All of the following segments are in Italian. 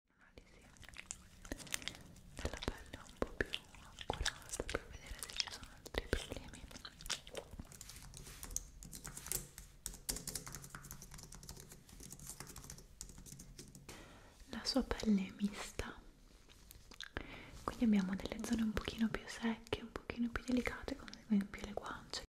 analisi ah, della pelle un po' più accurata per vedere se ci sono altri problemi la sua pelle è mista quindi abbiamo delle zone un pochino più secche un pochino più delicate come ad esempio le guance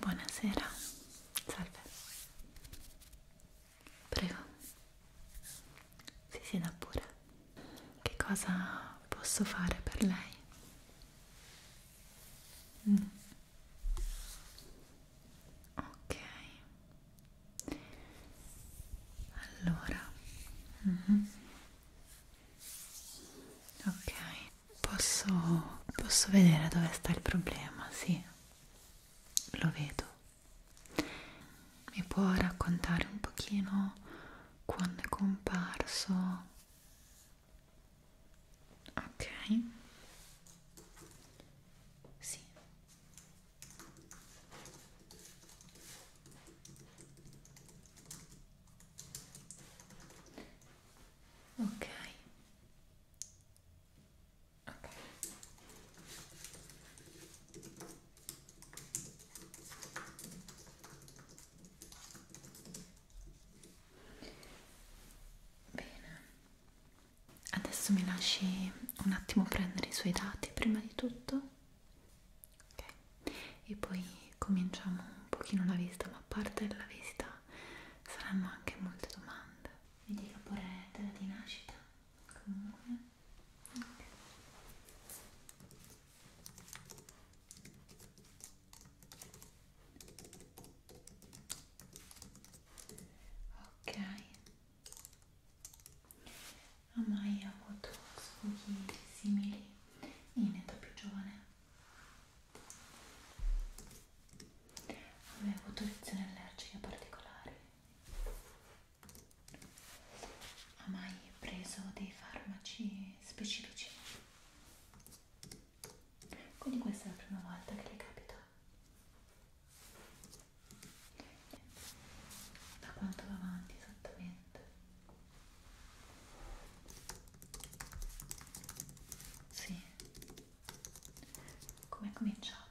Buonasera, salve. Prego. Sì, sì, da pure. Che cosa posso fare per lei? Mm. Ok. Allora. Mm -hmm. Ok. Posso posso vedere dove sta il problema, sì. Lo vedo. Mi può raccontare un pochino quando è comparso? ok sì ok ok Bene, adesso mi lasci un attimo prendere i suoi dati prima di tutto, ok? E poi cominciamo un pochino la visita, ma a parte la visita saranno anche molte domande. Mi dica pure della di nascita, comune. Okay ok ha mai avuto sfoghi simili in età più giovane ha mai avuto reazioni allergiche particolari ha mai preso dei farmaci specifici quindi questa è la prima volta che le capita da quanto va avanti esattamente sì come è cominciato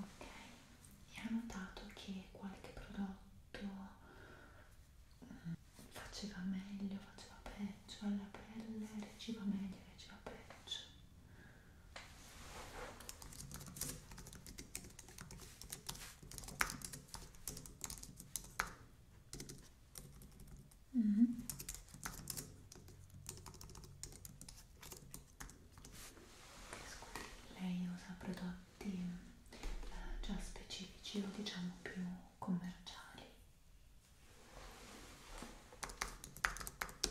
Ok, e ho notato che qualche prodotto mm, faceva meglio, faceva peggio alla pelle, reagiva meglio, reagiva peggio. Mm -hmm. Lei usa prodotti eh, già specifici o diciamo più commerciali.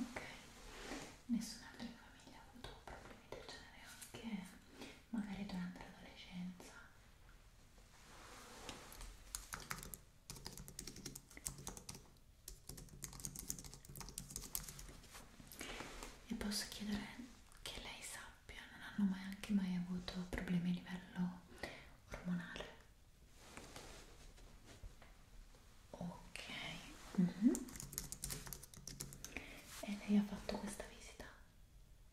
ok nessun'altra in famiglia ha avuto problemi del genere anche magari durante l'adolescenza e posso chiedere che lei sappia non hanno mai anche mai avuto problemi a livello ormonale ok mm -hmm. e lei ha fatto questa visita?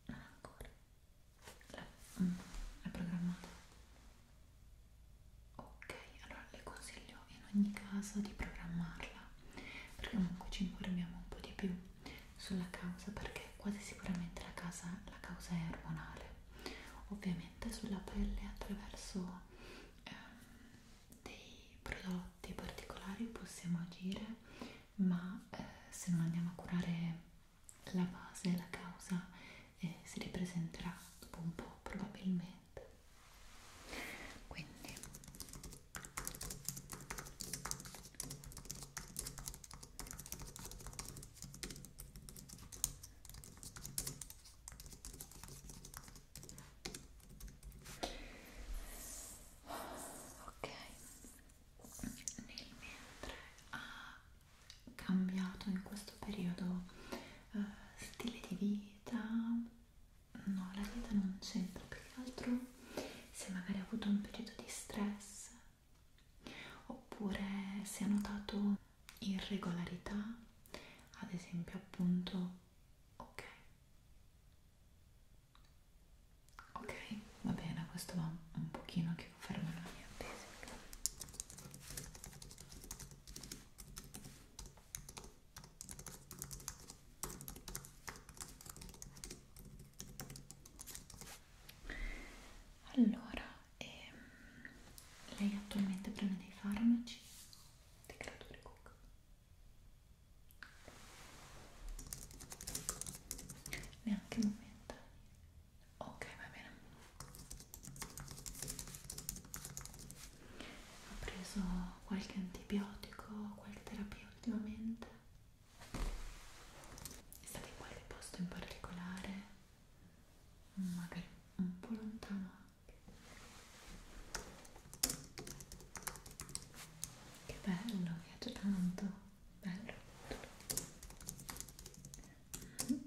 non ah, ancora l'ha mm, programmata? ok allora le consiglio in ogni caso di programmarla perché comunque ci informiamo un po' di più sulla causa perché quasi sicuramente la, casa, la causa è ormonale ovviamente sulla pelle attraverso ehm, dei prodotti particolari possiamo agire, ma eh, se non andiamo a curare la base, la causa, eh, si ripresenterà dopo un po' probabilmente. Quindi ok nel mentre ha cambiato in questo periodo uh, stile di vita no la vita non c'entra più che altro se magari ha avuto un periodo di stress oppure se ha notato irregolarità, ad esempio appunto ok. Ok, va bene, questo va un pochino che conferma la mia tesi. Allora, e, mm, lei attualmente prende dei farmaci dei creatori cook neanche momentane ok va bene ha preso qualche antibiotico qualche terapia ultimamente è stato in qualche posto in particolare magari un po' lontano che bello, mi piace tanto. Bello. Mm.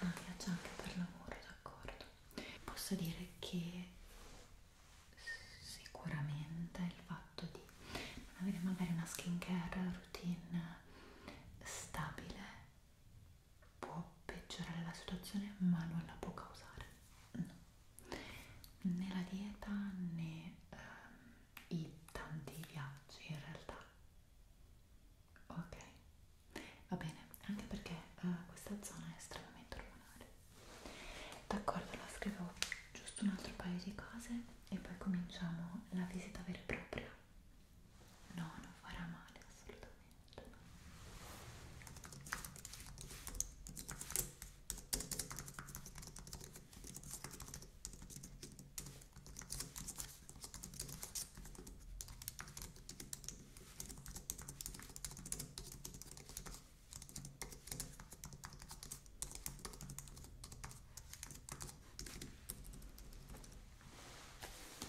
Ah, piace anche per lavoro, d'accordo. Posso dire che sicuramente il fatto di non avere magari una skincare routine stabile può peggiorare la situazione ma non la può causare no. né la dieta né ehm, i tanti viaggi in realtà ok va bene anche perché eh, questa zona è estremamente ormonale d'accordo la scrivo giusto un altro paio di cose e poi cominciamo la visita vera e propria no non farà male assolutamente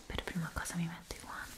per prima cosa mi metto i guanti.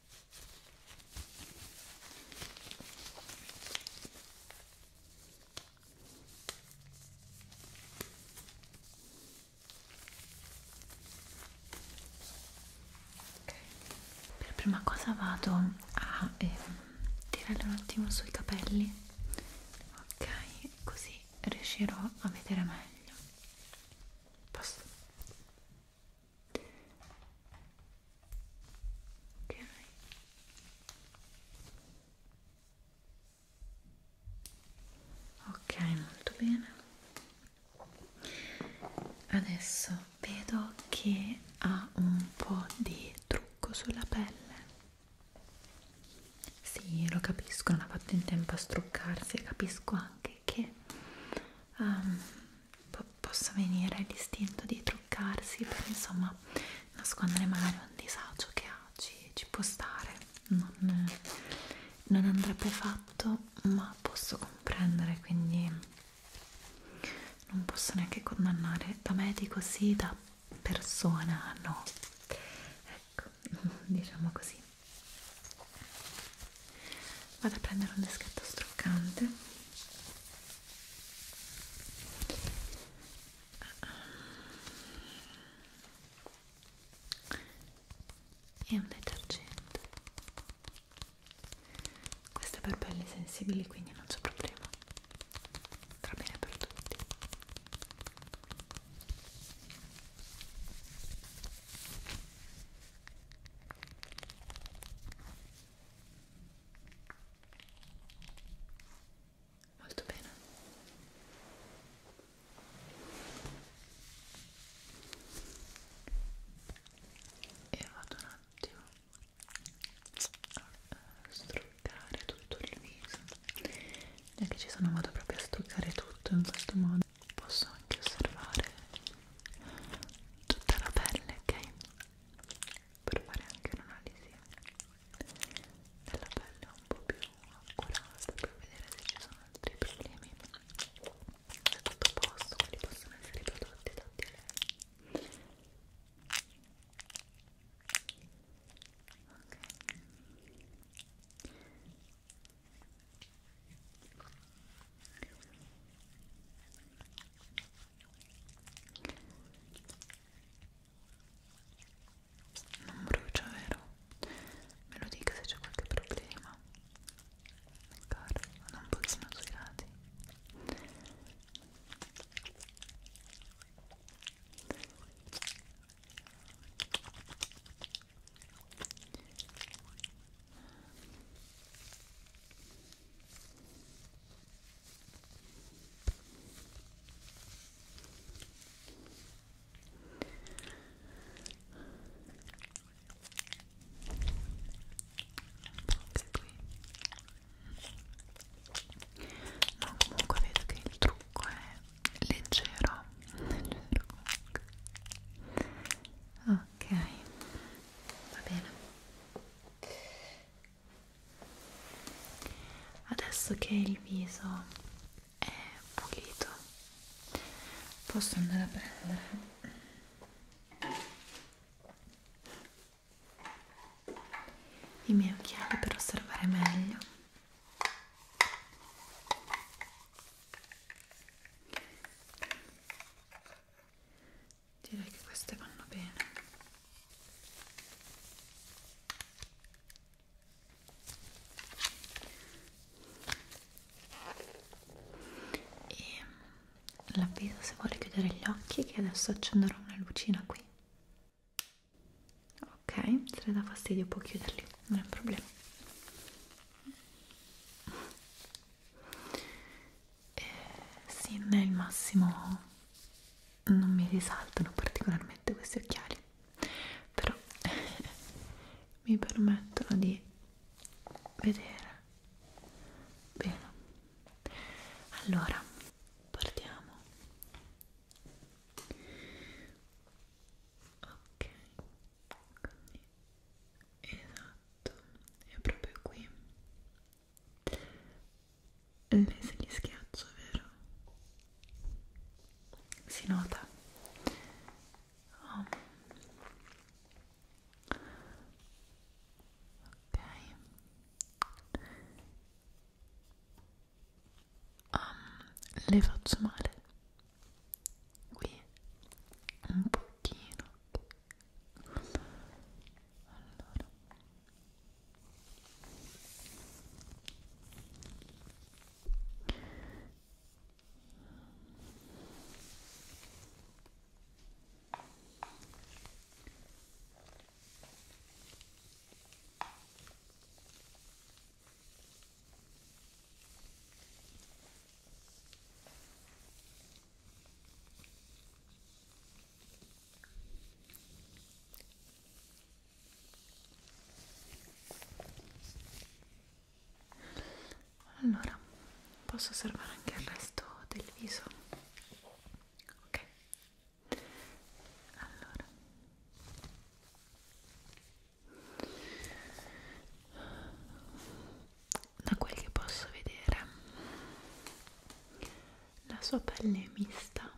Per prima cosa vado a eh, tirare un attimo sui capelli, ok? Così riuscirò a vedere meglio. Posso? ok ok molto bene adesso vedo che ha un po' di trucco sulla pelle sì lo capisco non ha fatto in tempo a struccarsi capisco anche che um, po possa venire l'istinto di truccarsi per insomma nascondere magari un disagio che ha, ci, ci può stare, non, non andrebbe fatto ma posso comprendere quindi non posso neanche condannare da medico sì, da persona no ecco, diciamo così vado a prendere un deschetto struccante e un detergente questo è per pelli sensibili quindi non c'è problema va bene per tutti Molto bene. E vado un attimo a eh, struccare tutto il viso. E che ci sono vado proprio a stuccare tutto in questo modo posso anche osservare tutta la pelle, ok? Per fare anche un'analisi della pelle un po' più accurata per vedere se ci sono altri problemi se tutto a posto, quali possono essere i prodotti dati a lei ok non brucia, vero? Me lo dica se c'è qualche problema. D'accordo, vado un pochino sui lati. No, comunque vedo che il trucco è leggero, leggero comunque. Ah, ok va bene adesso che il viso è pulito posso andare a prendere i miei occhiali per osservare meglio direi che queste vanno bene e l'avviso se vuole chiudere gli occhi che adesso accenderò una lucina qui ok se le dà fastidio può chiuderli non è un problema e sì, non è il massimo, non mi risaltano particolarmente questi occhiali, però mi permettono di vedere bene. Allora, partiamo. Ok. Quindi, esatto, è proprio qui. Lei se li schiaccio, vero? Si nota. Oh. Ok. Um, le faccio male qui un pochino allora allora, posso osservare anche il resto del viso? Ok. Allora da quel che posso vedere la sua pelle è mista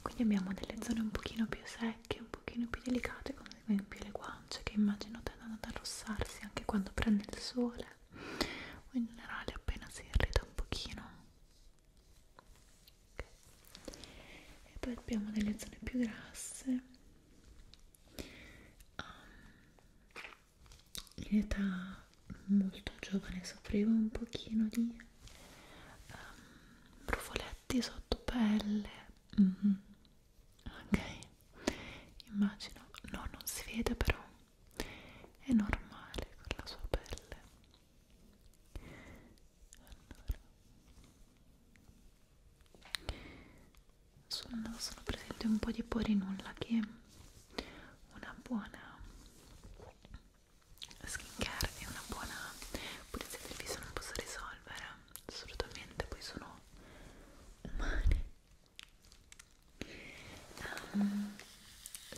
quindi abbiamo delle zone un pochino più secche un pochino più delicate come ad esempio le guance che immagino tendono ad arrossarsi anche quando prende il sole o in generale appena si irrita un pochino okay. e poi abbiamo delle zone più grasse um, in età molto giovane soffrivo un pochino di um, brufoletti sotto pelle mm -hmm. ok immagino no non si vede però è normale con la sua pelle sul naso sono presente un po' di porinulla che è una buona skincare e una buona pulizia del viso non posso risolvere assolutamente poi sono umane um,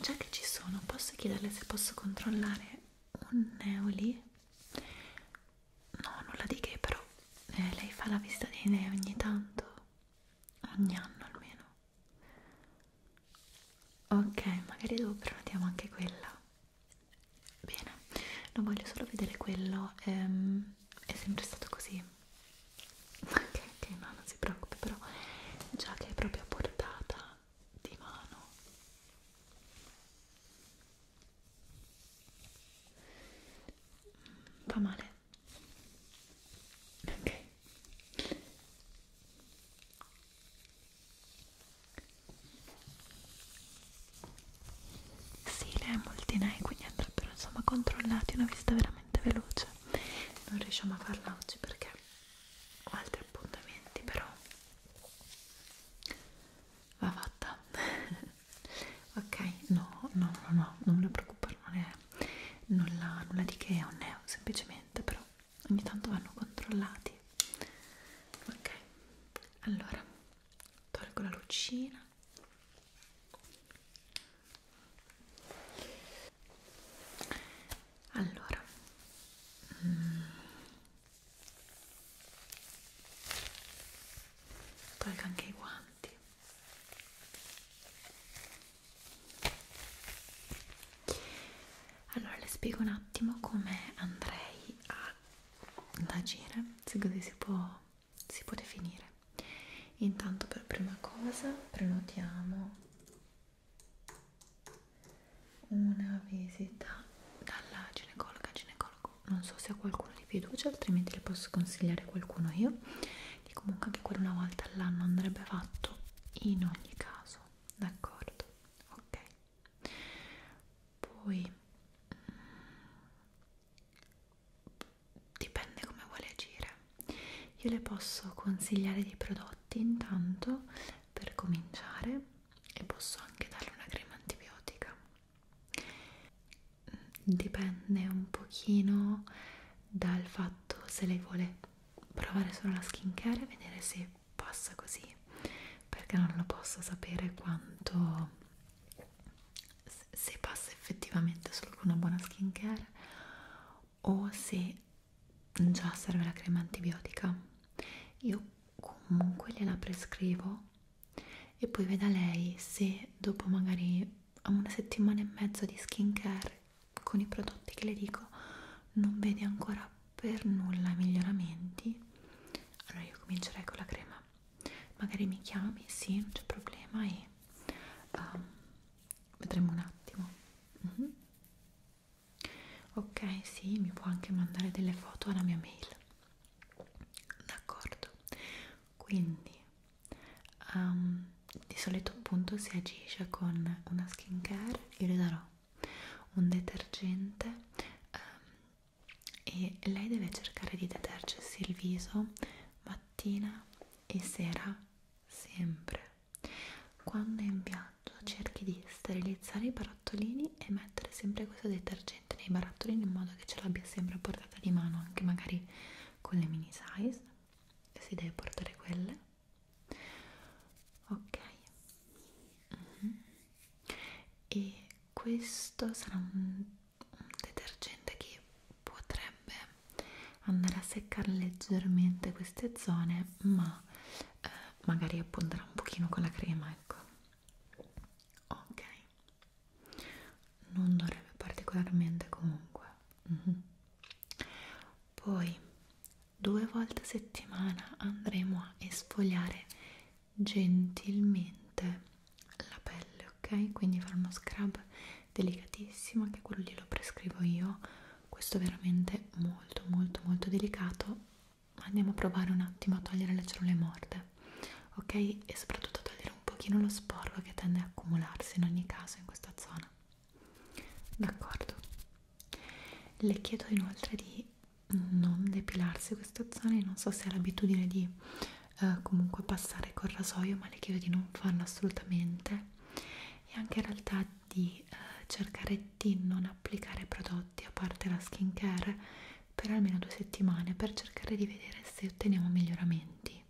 già che ci sono posso chiederle se posso controllare un neoli no nulla di che però eh, lei fa la visita dei dei ogni tanto ogni anno almeno ok magari dopo prenotiamo anche quella bene non voglio solo vedere quello ehm, è sempre stato così ok ok no non si preoccupi però già che è proprio a portata di mano Fa male. Ok. Sì, lei ha molti nei, quindi andrebbero insomma controllati una visita veramente veloce. Non riusciamo a farla oggi perché ho altri appuntamenti, però va fatta ok no no no no non mi preoccupare non è nulla, nulla di che è un neo semplicemente però ogni tanto vanno controllati ok allora tolgo la lucina allora mm, Tolgo anche i guanti. Allora le spiego un attimo come andrei ad agire, se così si può, si può definire. Intanto per prima cosa prenotiamo una visita dalla ginecologa, ginecologo non so se ho qualcuno di fiducia altrimenti le posso consigliare qualcuno io che comunque anche quella una volta all'anno andrebbe fatto in ogni caso d'accordo ok poi mm, dipende come vuole agire io le posso consigliare dei prodotti intanto per cominciare e posso anche darle una crema antibiotica dipende un pochino dal fatto se lei vuole provare solo la skincare e vedere se passa così perché non lo posso sapere quanto se passa effettivamente solo con una buona skincare o se già serve la crema antibiotica io comunque gliela prescrivo e poi veda lei se dopo magari una settimana e mezza di skincare con i prodotti che le dico non vede ancora per nulla miglioramenti allora io comincerei con la crema magari mi chiami, sì, non c'è problema e um, vedremo un attimo mm -hmm. ok, sì, mi può anche mandare delle foto alla mia mail d'accordo quindi um, di solito appunto si agisce con una skin care io le darò un detergente um, e lei deve cercare di detergersi il viso mattina e sera sempre quando è in viaggio cerchi di sterilizzare i barattolini e mettere sempre questo detergente detergente nei barattolini in modo che ce l'abbia sempre a portata di mano anche magari con le mini size si deve portare quelle ok mm -hmm. e questo sarà un, un detergente che potrebbe andare a seccare leggermente queste zone ma eh, magari apponderà un pochino con la crema ecco ok non dovrebbe particolarmente comunque mm -hmm. poi due volte a settimana andremo a esfoliare gentilmente la pelle ok quindi fare uno scrub delicatissimo che quello glielo prescrivo io questo è veramente molto molto molto delicato andiamo a provare un attimo a togliere le cellule morte ok e soprattutto togliere un pochino lo sporco che tende a accumularsi in ogni caso in questa zona d'accordo le chiedo inoltre di non depilarsi questa zona non so se ha l'abitudine di eh, comunque passare col rasoio ma le chiedo di non farlo assolutamente e anche in realtà di eh, cercare di non applicare prodotti a parte la skin care per almeno due settimane per cercare di vedere se otteniamo miglioramenti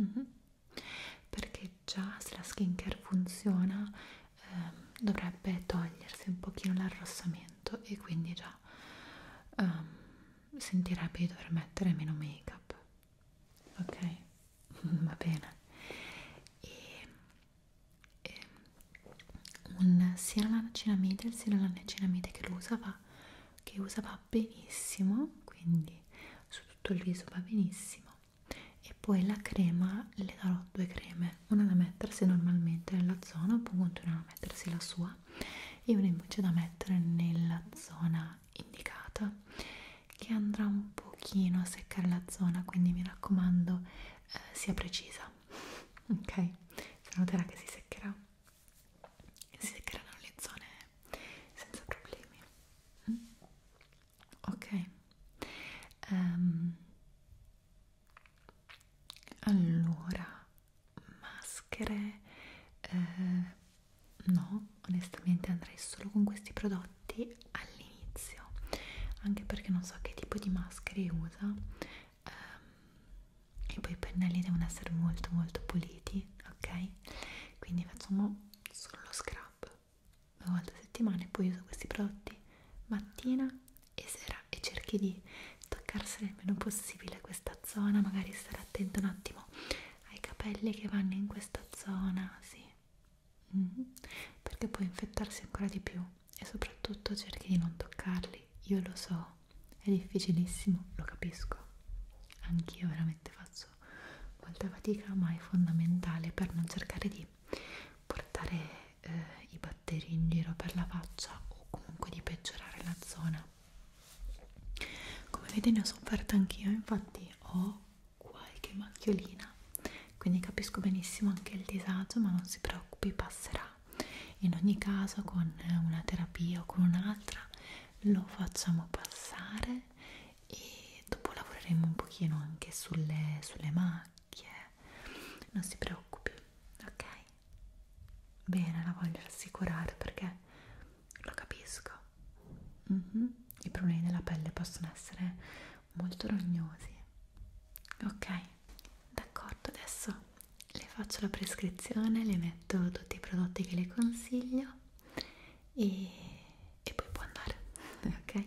mm -hmm. perché già se la skincare funziona ehm, dovrebbe togliersi un pochino l'arrossamento e quindi già ehm, sentirebbe di dover mettere meno make up ok va bene e e ehm, un, sia la ceramide sia la ceramide che, che usa va benissimo quindi su tutto il viso va benissimo e poi la crema le darò due creme una da mettersi normalmente nella zona può continuare a mettersi la sua e una invece da mettere nella zona indicata che andrà un pochino a seccare la zona quindi mi raccomando eh, sia precisa noterà ok? si noterà che si seccherà si seccheranno le zone senza problemi ok um, allora maschere eh, no onestamente andrei solo con questi prodotti all'inizio anche perché non so che tipo di maschere usa um, e poi i pennelli devono essere molto molto puliti ok quindi facciamo solo lo scrub una volta a settimana e poi uso questi prodotti mattina e sera e cerchi di toccarsi il meno possibile questa zona magari stare attento un attimo ai capelli che vanno in questa zona sì mm -hmm. perché può infettarsi ancora di più e soprattutto cerchi di non toccarli. Io lo so, è difficilissimo, lo capisco. Anch'io veramente faccio molta fatica, ma è fondamentale per non cercare di portare eh, i batteri in giro per la faccia o comunque di peggiorare la zona. Come vedete ne ho sofferta anch'io, infatti ho qualche macchiolina, quindi capisco benissimo anche il disagio, ma non si preoccupi, passerà in ogni caso con una terapia o con un'altra lo facciamo passare e dopo lavoreremo un pochino anche sulle, sulle macchie non si preoccupi ok bene la voglio rassicurare perché lo capisco mm -hmm. i problemi della pelle possono essere molto rognosi ok d'accordo adesso le faccio la prescrizione le metto tutti i prodotti che le consiglio e, e poi può andare ok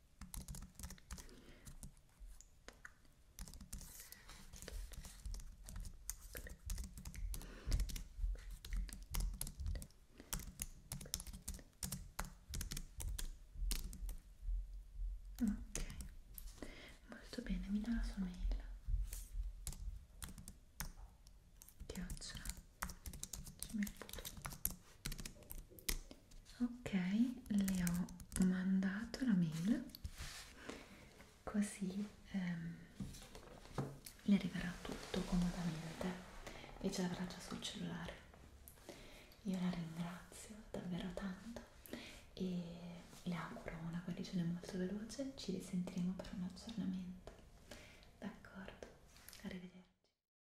Ok, molto bene, mi dà la sua mail. Ti piacciono? ok le ho mandato la mail così ehm, le arriverà tutto comodamente e ce l'avrà già sul cellulare io la ringrazio davvero tanto e le auguro una guarigione molto veloce ci risentiremo per un aggiornamento d'accordo arrivederci